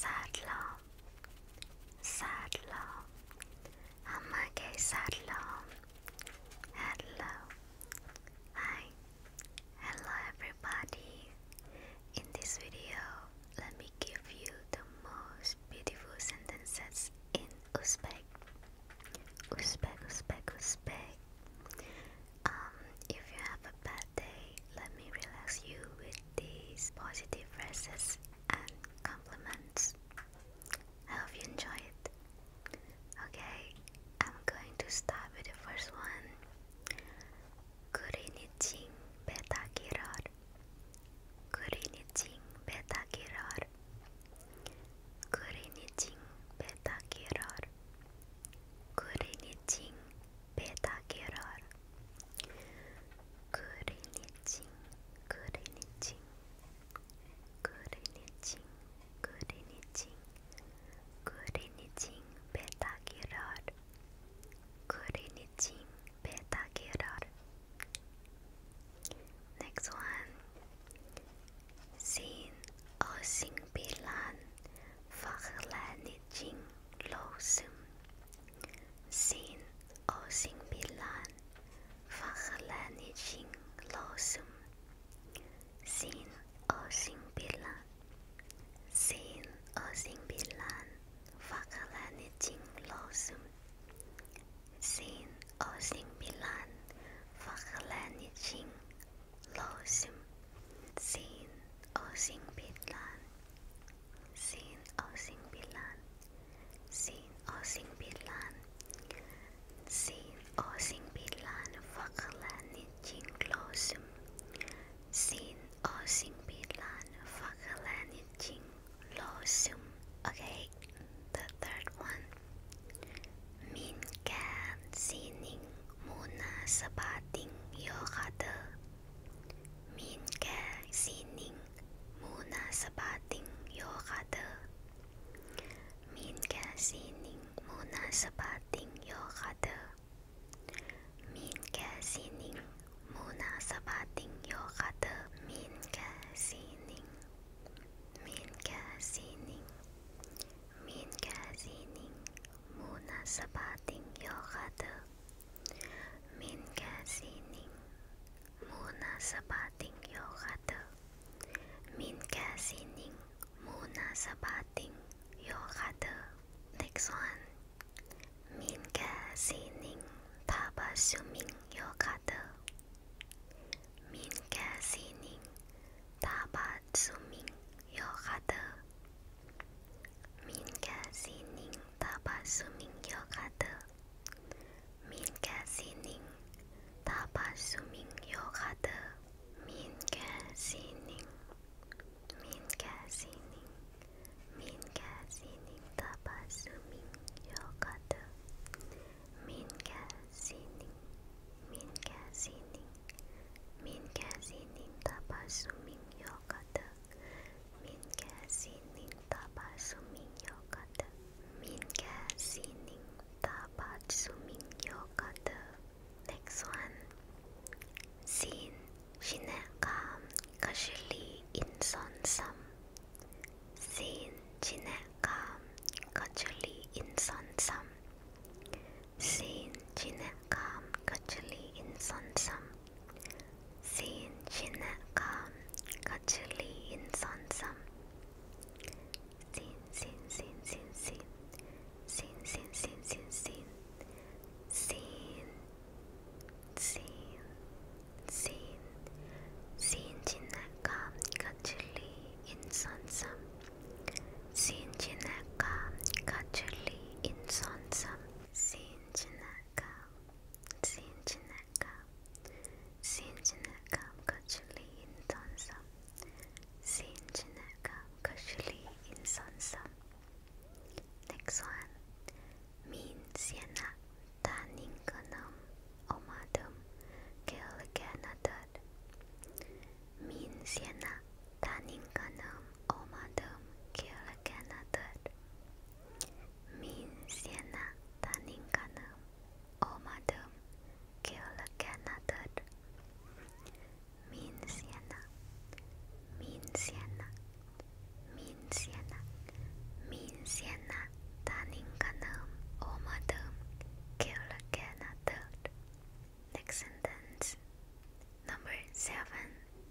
Sadlo, sadlo, amage sadlo. Hello, hi, hello everybody. In this video, let me give you the most beautiful sentences in Uzbek. Uzbek, Uzbek, Uzbek. Um, if you have a bad hard let me relax you with these positive phrases and compliments. I hope you enjoy it. Okay, I'm going to start with the first one. 그린이칭 베타기랄 그린이칭 베타기랄 그린이칭 베타기랄 그린이칭 bedagerar Gürenetin, gürenetin Gürenetin, gürenetin Gürenetin bedagerar Gürenetin bedagerar Next one Sin o sin bilan vergelijking lozen. Sin osing bilan vergelijking lozen. Sin osing bilan. Sin osing bilan vergelijking lozen. Sin osing bilan vergelijking Losim Sin Osing Bitlan Sin Osing Bitlan Sin Osing Bitlan Sin Osing Bitlan Fakalani Jing Losim Sin Osing Bitlan Fakalani Jing Losim Okay, the third one. Min can see muna sa bating yokada. Minke sining muna sa bating yokada. Minke sining muna sa bating yokada. Minke sining muna sa bating yokada. Minke sining. Minke sining. Minka sining muna sa bating yokado. Minka sining muna sa bating yokado. Minka sining muna sa bating yokado. Next one. Minka sining taba suming yokado. Minka sining taba Tabatsuming Yokata Minka Sining Tabasuming Yokata Minka Sining Tabasuming Yokata Minka Sining Minka Sining Minka Sining Tabasuming Yokata Minka Sining Minka Sining 민캐시님 다발수민요 가득 민캐시님 다발수민요 가득 민캐시님 다발수민요 가득 Next one 신 신의감 거슬리 인선섬 신 신의감 거슬리 인선섬 Sin Jinekam Kachili in Sonsam. Sin Jinekam Kachili in Sonsam. Sin, sin, sin, sin, sin. Sin, sin, sin, sin, sin. Sin, sin, sin. Sin Jinekam Kachili in Sonsam. Sinjinaka Kachuli Insonsam Sinjinaka Sinjinaka Sinjinaka Kachuli Insonsam Sinjinaka Kachuli Insonsam Next one Min Siena Taninganam Omadum Kilganadad Min Siena Taninganum omadum kiraganadur. Min siena taninganum omadum kiraganadur. Min siena, min siena, min siena, min siena taninganum omadum kiraganadur. Next sentence. Number seven.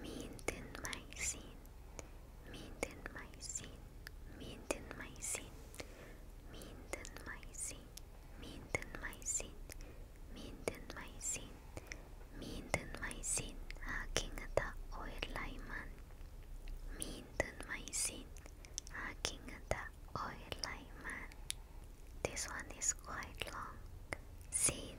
Midenmaisin, midenmaisin, midenmaisin, midenmaisin, midenmaisin, midenmaisin, midenmaisin, aking ata oirlaiman. Midenmaisin, aking ata oirlaiman. This one is quite long. Sin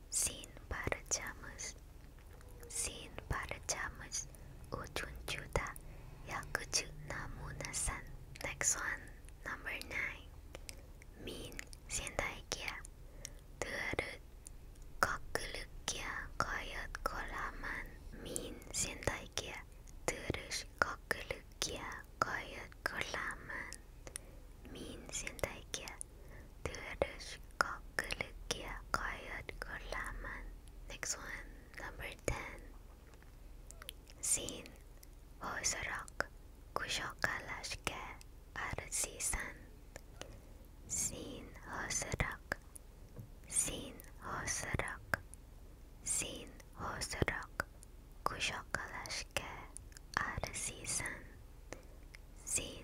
Sin para chamas, sin para chamas, Uchunchuta Yakuchu Namuna-san. Next one, number nine. Min sendaikia, tuaru kokulukia koyot kolaman. Min sendaikia, tuarush kokulukia koyot kolaman. Min sendaikia, Next one, number 10. Sin, hosorok, kushokalashke, arasisan. Sin, hosorok, sin, hosorok, sin, hosorok, kushokalashke, arasisan. Sin,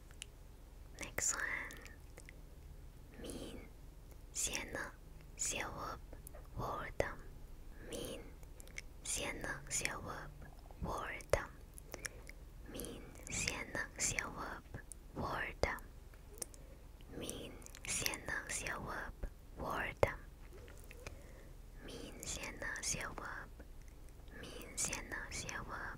Next one. Min, Sienna, Siawab, Wardam. Min, Sienna, Siawab, Wardam. Min, Sienna, Siawab, Wardam. Min, Sienna, Siawab, Wardam. Min, Sienna, Siawab. Min, Sienna, Siawab.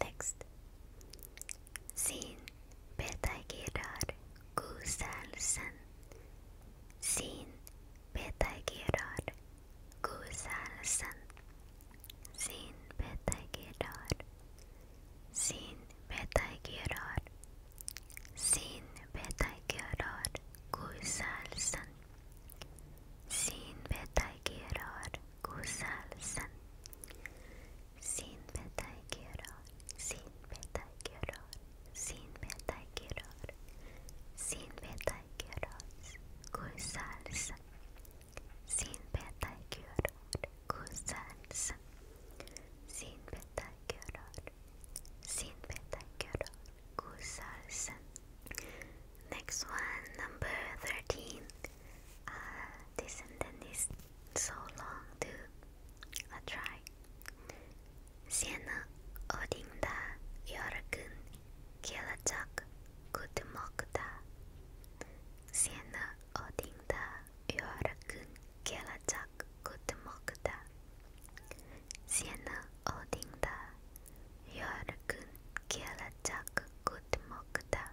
Next. Sin beta girar güzelsin. Sin beta girar güzelsin. Sin beta girar. Sin beta girar. Sin beta girar güzelsin. Sin beta girar güzelsin. Sinbe taygiror, sinbe taygiror, sinbe taygiror, sinbe taygiror, güzelsin. Sinbe taygiror, güzelsin. Sinbe taygiror, sinbe taygiror, güzelsin. Next one, number thirteen. Uh, this sentence this so long to too. I'll try. Sienna odinda yorakun kelacak kutumokta. Sienna odinda yorakun kelacak kutumokta. Sienna odinda yorakun kelacak kutumokta.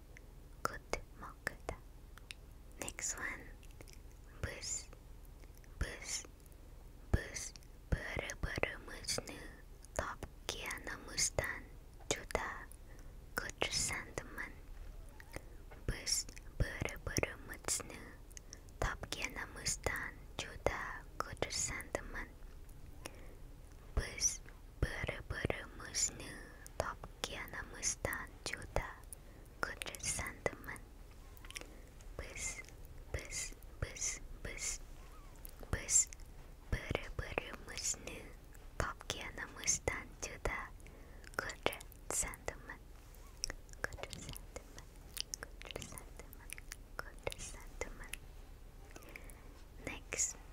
good mokkata. Next one, bus, bus, bus, buru buru musnu, top juda, good Bus, buru buru musnu, top juda, good Bus, buru buru top okyanımızdan juda kudret sandımın Bız bız bız bız Bız bırı bırımızını okyanımızdan juda kudret sandımın Kudret sandımın Kudret sandımın Kudret sandımın Next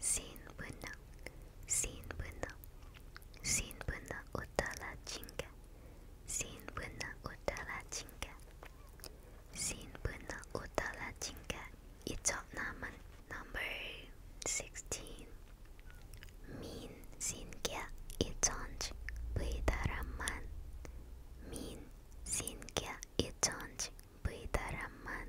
Sinbuna, Sinbuna, Sinbuna utala chinga, Sinbuna utala chinga, Sinbuna utala chinga. It's naman number sixteen. Min singa itonj buidaraman. Min singa itonj buidaraman.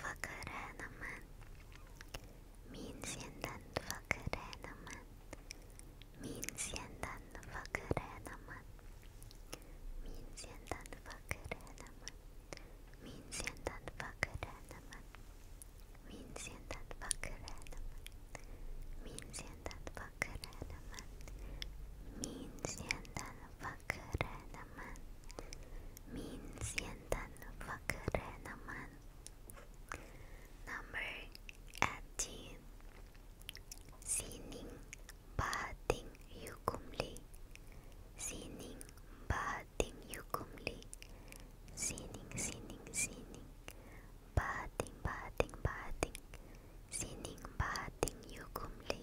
fakir hemen Min senden fakir hemen Min senden fakir hemen Min senden fakir hemen Min senden fakir hemen Min senden fakir hemen Min senden fakir hemen Min senden fakir hemen naman minsan dan fakre naman number 18 sining bahating yukumli sining bahating yukumli sining sining sining bahating bahating bahating sining bahating yukumli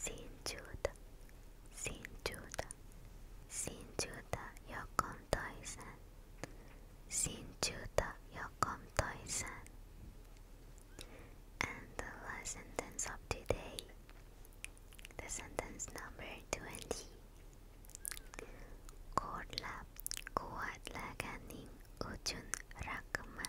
Sinjuda, Sinjuda, Sinjuda Yokom Toisen, Sinjuda Yokom Toisen. And the last sentence of today, the sentence number 20. Korla kuatla ganing ujun rakma.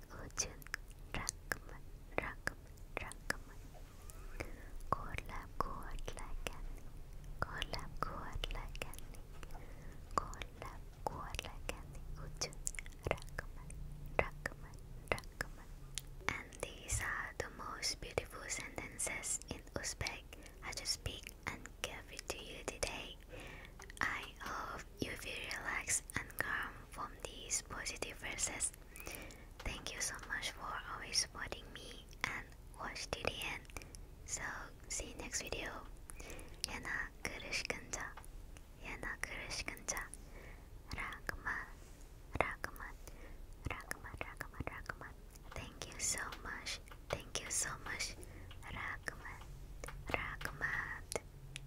Ojun Rakman Rakman Rakman Korlap Korlakan Korlap Korlakan Korlap Korlakan Ojun Rakman Rakman Rakman And these are the most beautiful sentences in Uzbek I just speak and give it to you today. I hope you feel relaxed and calm from these positive verses. Thank you so much for always supporting me and watch till the end. So see you next video. Yana Kurishkanja. Yana Kurishkanja. Rakamat. Rakamat. Rakamat. Rakamat. Rakamat. Thank you so much. Thank you so much. Rakamat. Rakamat.